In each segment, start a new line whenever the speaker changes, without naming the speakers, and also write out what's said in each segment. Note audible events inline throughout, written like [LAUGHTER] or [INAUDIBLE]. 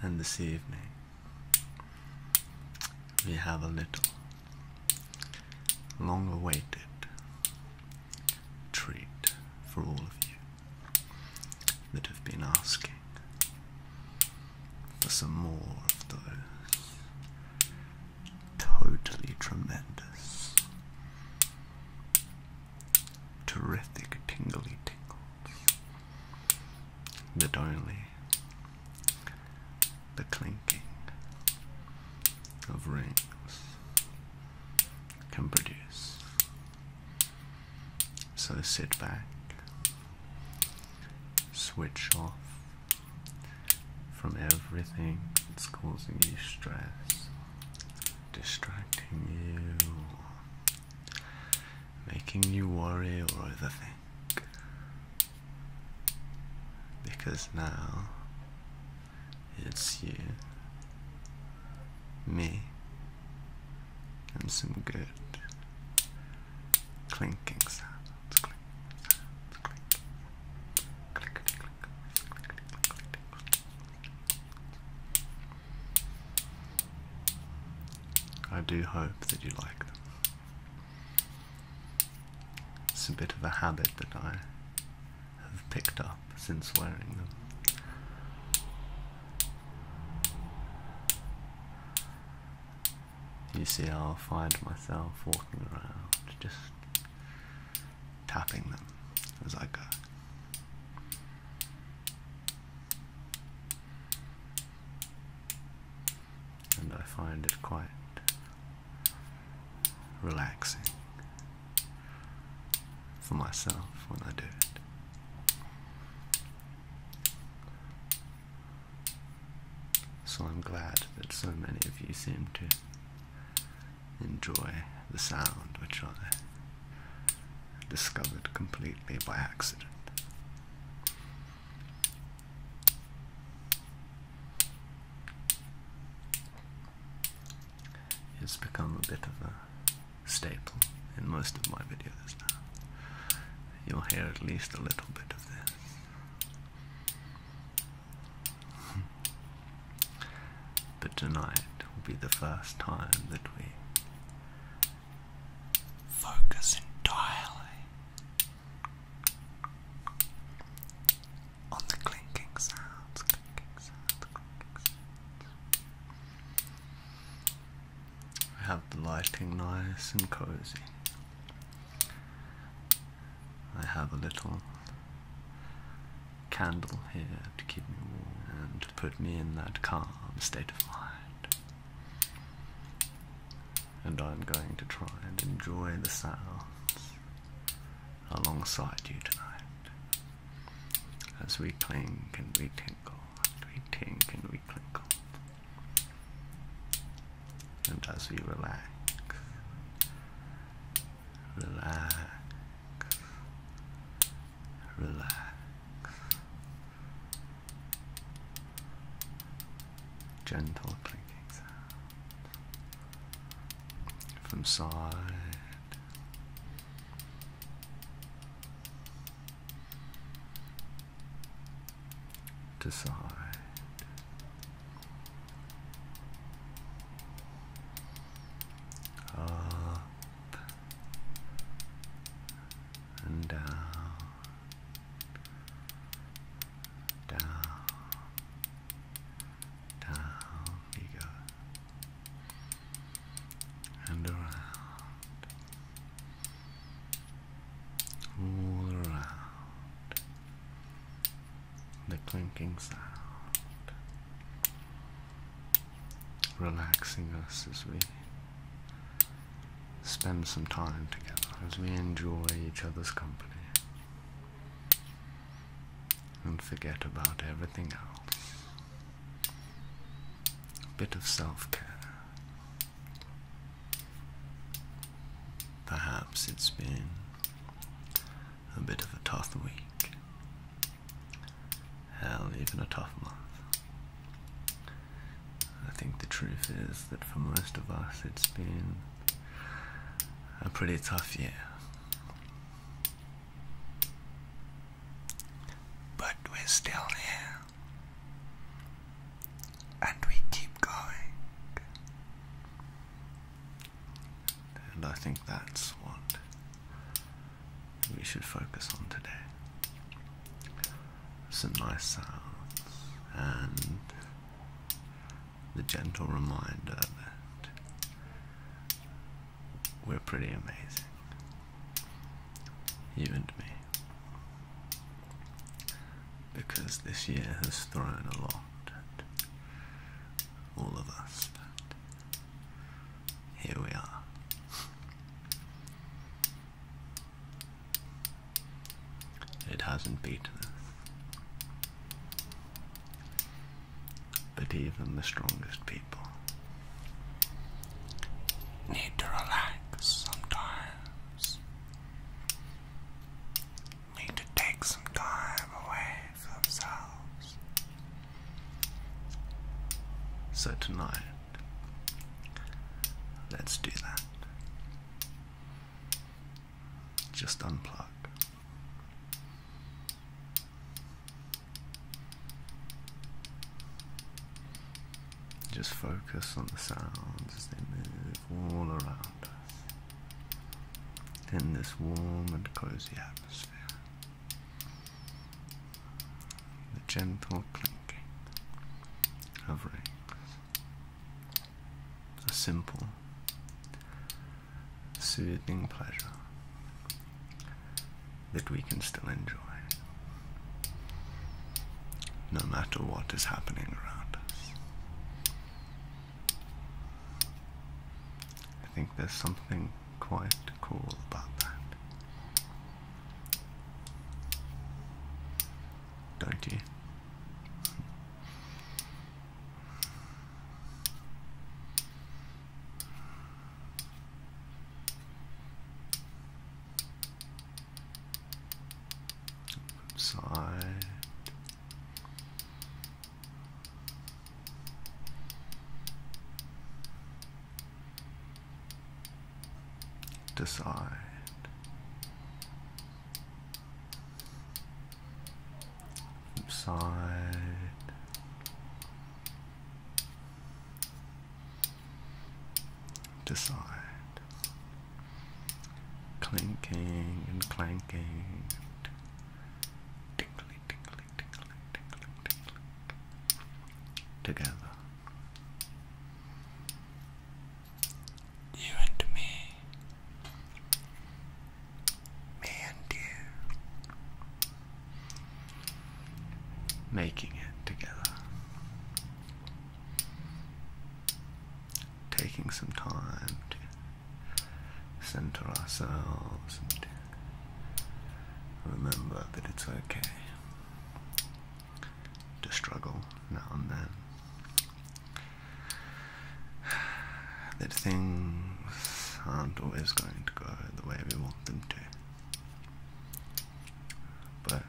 And this evening, we have a little long awaited treat for all of you that have been asking for some more of those totally tremendous terrific tingly tingles that only the clinking of rings can produce. So sit back, switch off from everything that's causing you stress distracting you, making you worry or overthink. Because now it's you, me, and some good clinking sounds. I do hope that you like them. It's a bit of a habit that I have picked up since wearing them. You see, I'll find myself walking around just tapping them. It was like a and I find it quite relaxing for myself when I do it. So I'm glad that so many of you seem to enjoy the sound which I discovered completely by accident. It's become a bit of a staple in most of my videos now. You'll hear at least a little bit of this but tonight will be the first time that we
focus entirely on the clinking sounds, clinking
have the lighting nice and cozy. I have a little Candle here to keep me warm and to put me in that calm state of mind. And I'm going to try and enjoy the sounds alongside you tonight as we clink and we tinkle and we tinkle and we clinkle. And as we relax relax, relax. Gentle clinking from side to side. Up and down, down, down you go, and around, all around the clinking sound, relaxing us as we spend some time together, as we enjoy each other's company, and forget about everything else. A bit of self care. Perhaps it's been a bit of a tough week. Hell, even a tough month. I think the truth is that for most of us it's been a pretty tough year.
But we're still here. And we keep going.
And I think that's what we should focus on today. Some nice sounds and the gentle reminder that we're pretty amazing. even to me. Because this year has thrown a lot all of us, here we are. It hasn't beaten us. But even the strongest people
need to relax sometimes need to take some time away for themselves.
So tonight, let's do that. Just unplug. Just focus on the sounds as they move all around us. In this warm and cozy atmosphere. The gentle clinking of rings. A simple, soothing pleasure that we can still enjoy no matter what is happening around us. I think there's something quite cool about that. Don't you? Side Decide. Side. Decide clinking and clanking, tinkly, tinkly, tinkly, tinkly, tinkly, together.
You and me, me and you,
making it together taking some time to center ourselves and remember that it's okay to struggle now and then. That things aren't always going to go the way we want them to. But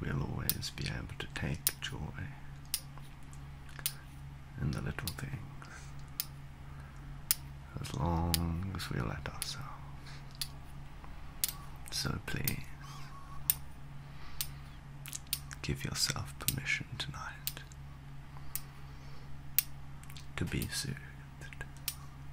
we will always be able to take joy in the little things as long as we let ourselves. So please give yourself permission tonight to be soothed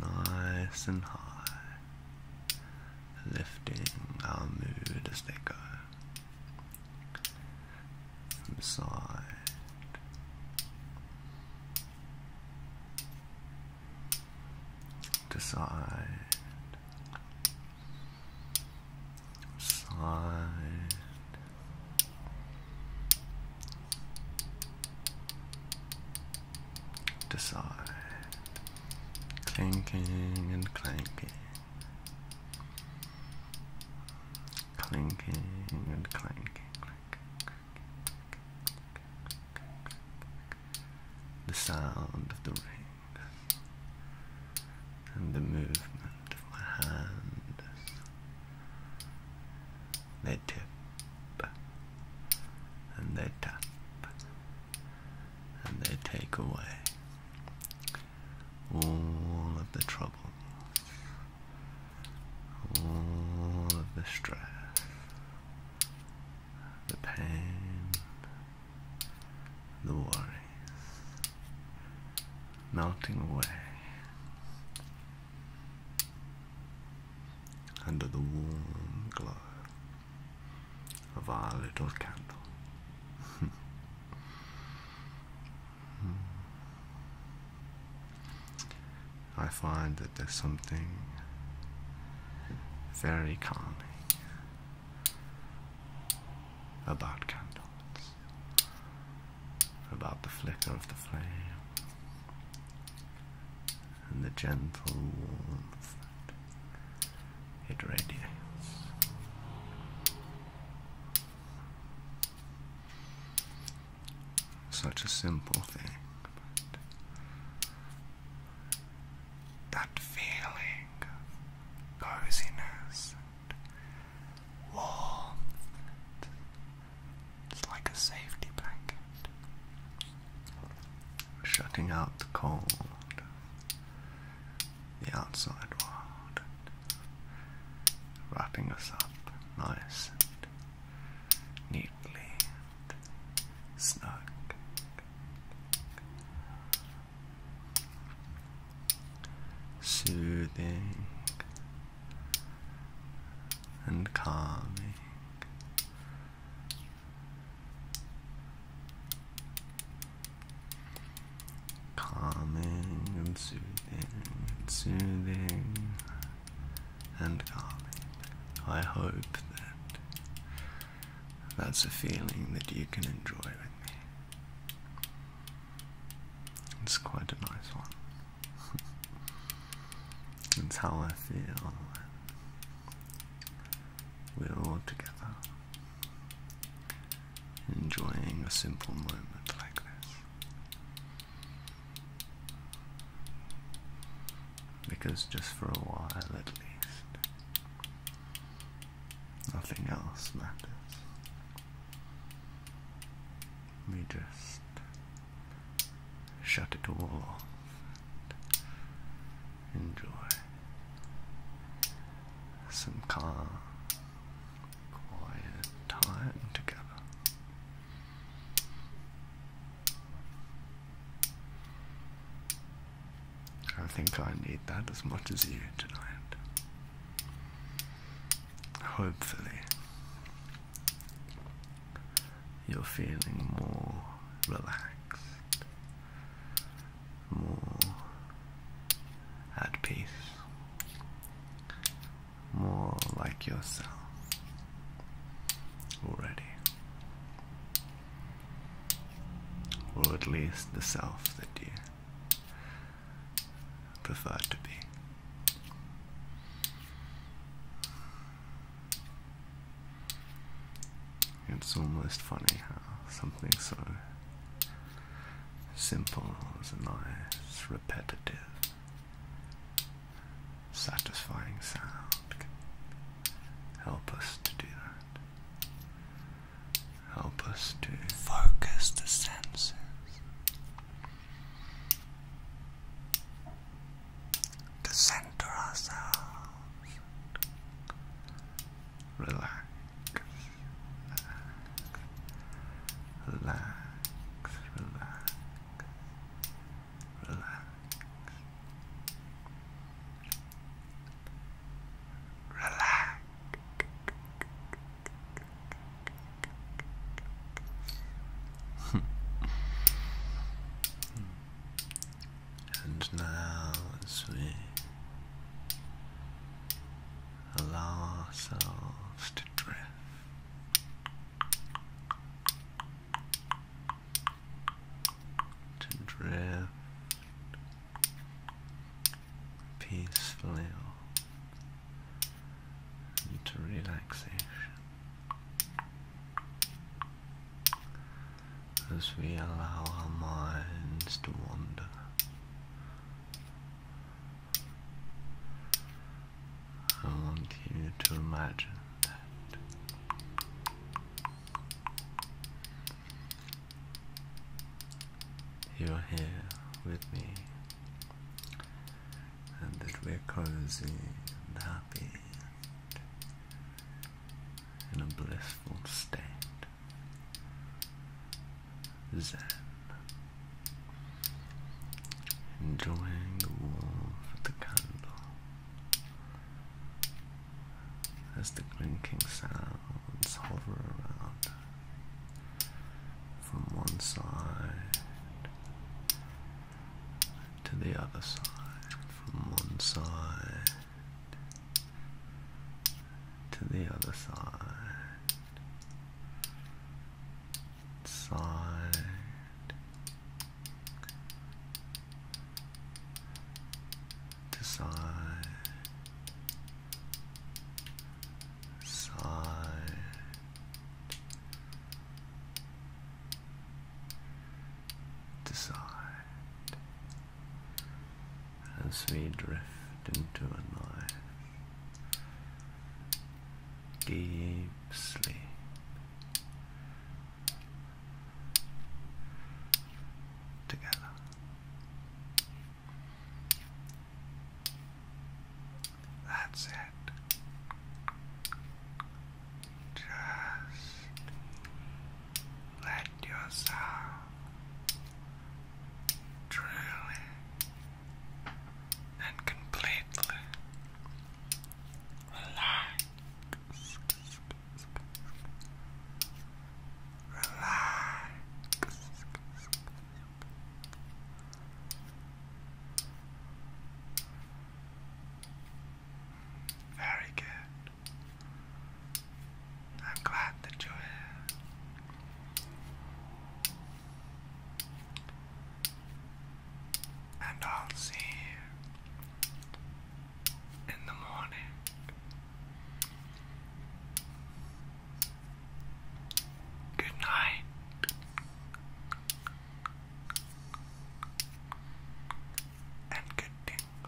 nice and high, lifting our mood as they go from side to side, side. Decide clanking and clanking, clanking and clanking. The sound of the ring and the movement of my hands. They tip and they tap and they take away all of the trouble, all of the stress, the pain, the worries melting away under the warm glow of our little candle. I find that there's something very calming about candles, about the flicker of the flame, and the gentle warmth it radiates. Such a simple thing,
that feeling coziness warmth it's like a safety blanket.
Shutting out the cold, the outside world, wrapping us up nice and
neatly snug.
Soothing and calming Calming and soothing and soothing and calming. I hope that that's a feeling that you can enjoy with me. It's quite a nice one. [LAUGHS] That's how I feel. We're all together enjoying a simple moment like this. Because just for a while at least, nothing else
matters.
We just shut it all off. Enjoy some calm, quiet time together. I think I need that as much as you tonight. Hopefully, you're feeling more relaxed, more at peace, more like yourself already. Or at least the self that you prefer to be. It's almost funny how something so simple as a nice, repetitive, satisfying sound can help us to do that.
Help us to focus the senses to center ourselves,
relax, relax, relax, relax, Hmm. and now, we allow ourselves to drift. To drift peacefully into relaxation as we allow our minds to wander. I want you to imagine that you are here with me and that we're cozy and happy in a blissful state. Zen. Enjoying the warmth of the candle as the clinking sounds hover around from one side to the other side, from one side to the other side, side to side, side decide as we drift into a night deep sleep. Together.
That's it. Just let yourself truly and completely relax. Relax. Very good. I'm glad that you're here. And I'll see you in the morning. Good night. And good tingles,